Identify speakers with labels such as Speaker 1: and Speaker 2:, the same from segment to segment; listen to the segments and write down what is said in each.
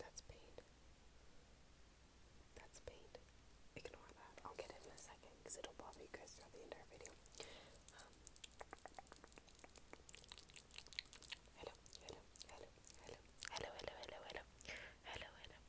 Speaker 1: That's paint. That's paint. Ignore that. I'll get it in a second because it'll bother you guys throughout the entire video. Um, hello, hello, hello, hello, hello, hello, hello, hello, hello,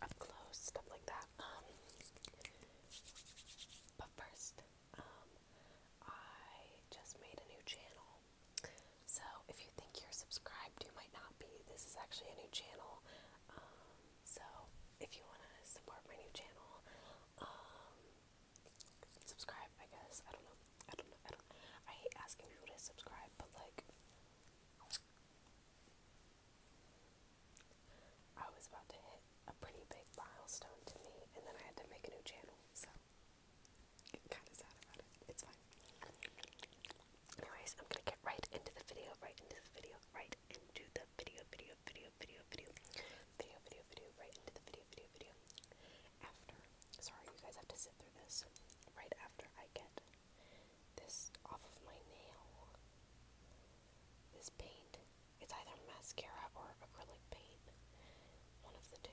Speaker 1: up close, stuff like that. Um, but first, um, I just made a new channel. So if you think you're subscribed, you might not be. This is actually a new channel. Um, so if you want to support my new channel, subscribe, I guess. I don't know. I don't know. I don't I hate asking people to subscribe, but like I was about to hit a pretty big milestone to me and then I had to make a new channel, so kinda sad about it. It's fine. Anyways, I'm gonna get right into the video, right into the video, right into the video, video, video, video, video, video, video, video, right into the video, video, video. After, sorry, you guys have to sit through this. Right after I get this off of my nail, this paint. It's either mascara or acrylic paint. One of the two.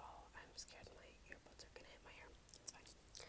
Speaker 1: Oh, I'm scared my earbuds are gonna hit my hair. It's fine.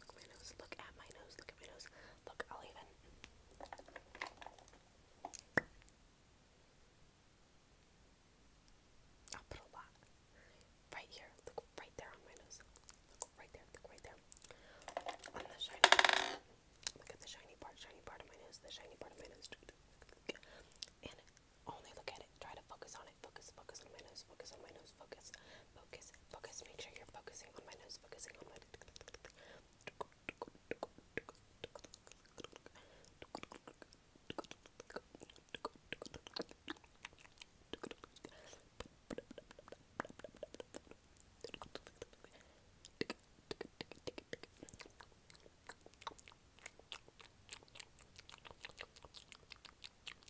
Speaker 1: nose, look at my nose, look at my nose, look at my nose. Look, I'll even. I'll put a lot right here. Look right there on my nose. Look right there. Look right there. On the shiny part. Look at the shiny part, shiny part of my nose, the shiny part of my nose. And only look at it. Try to focus on it. Focus, focus on my nose, focus on my nose, focus, focus, focus, focus. Make sure you're focusing on my nose, focusing on my.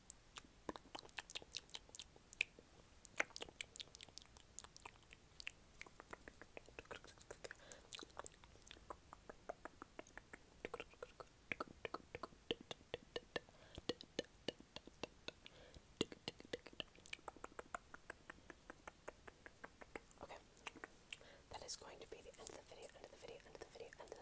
Speaker 1: Okay. That is going to be the end of the video, end of the video, end of the video, end of the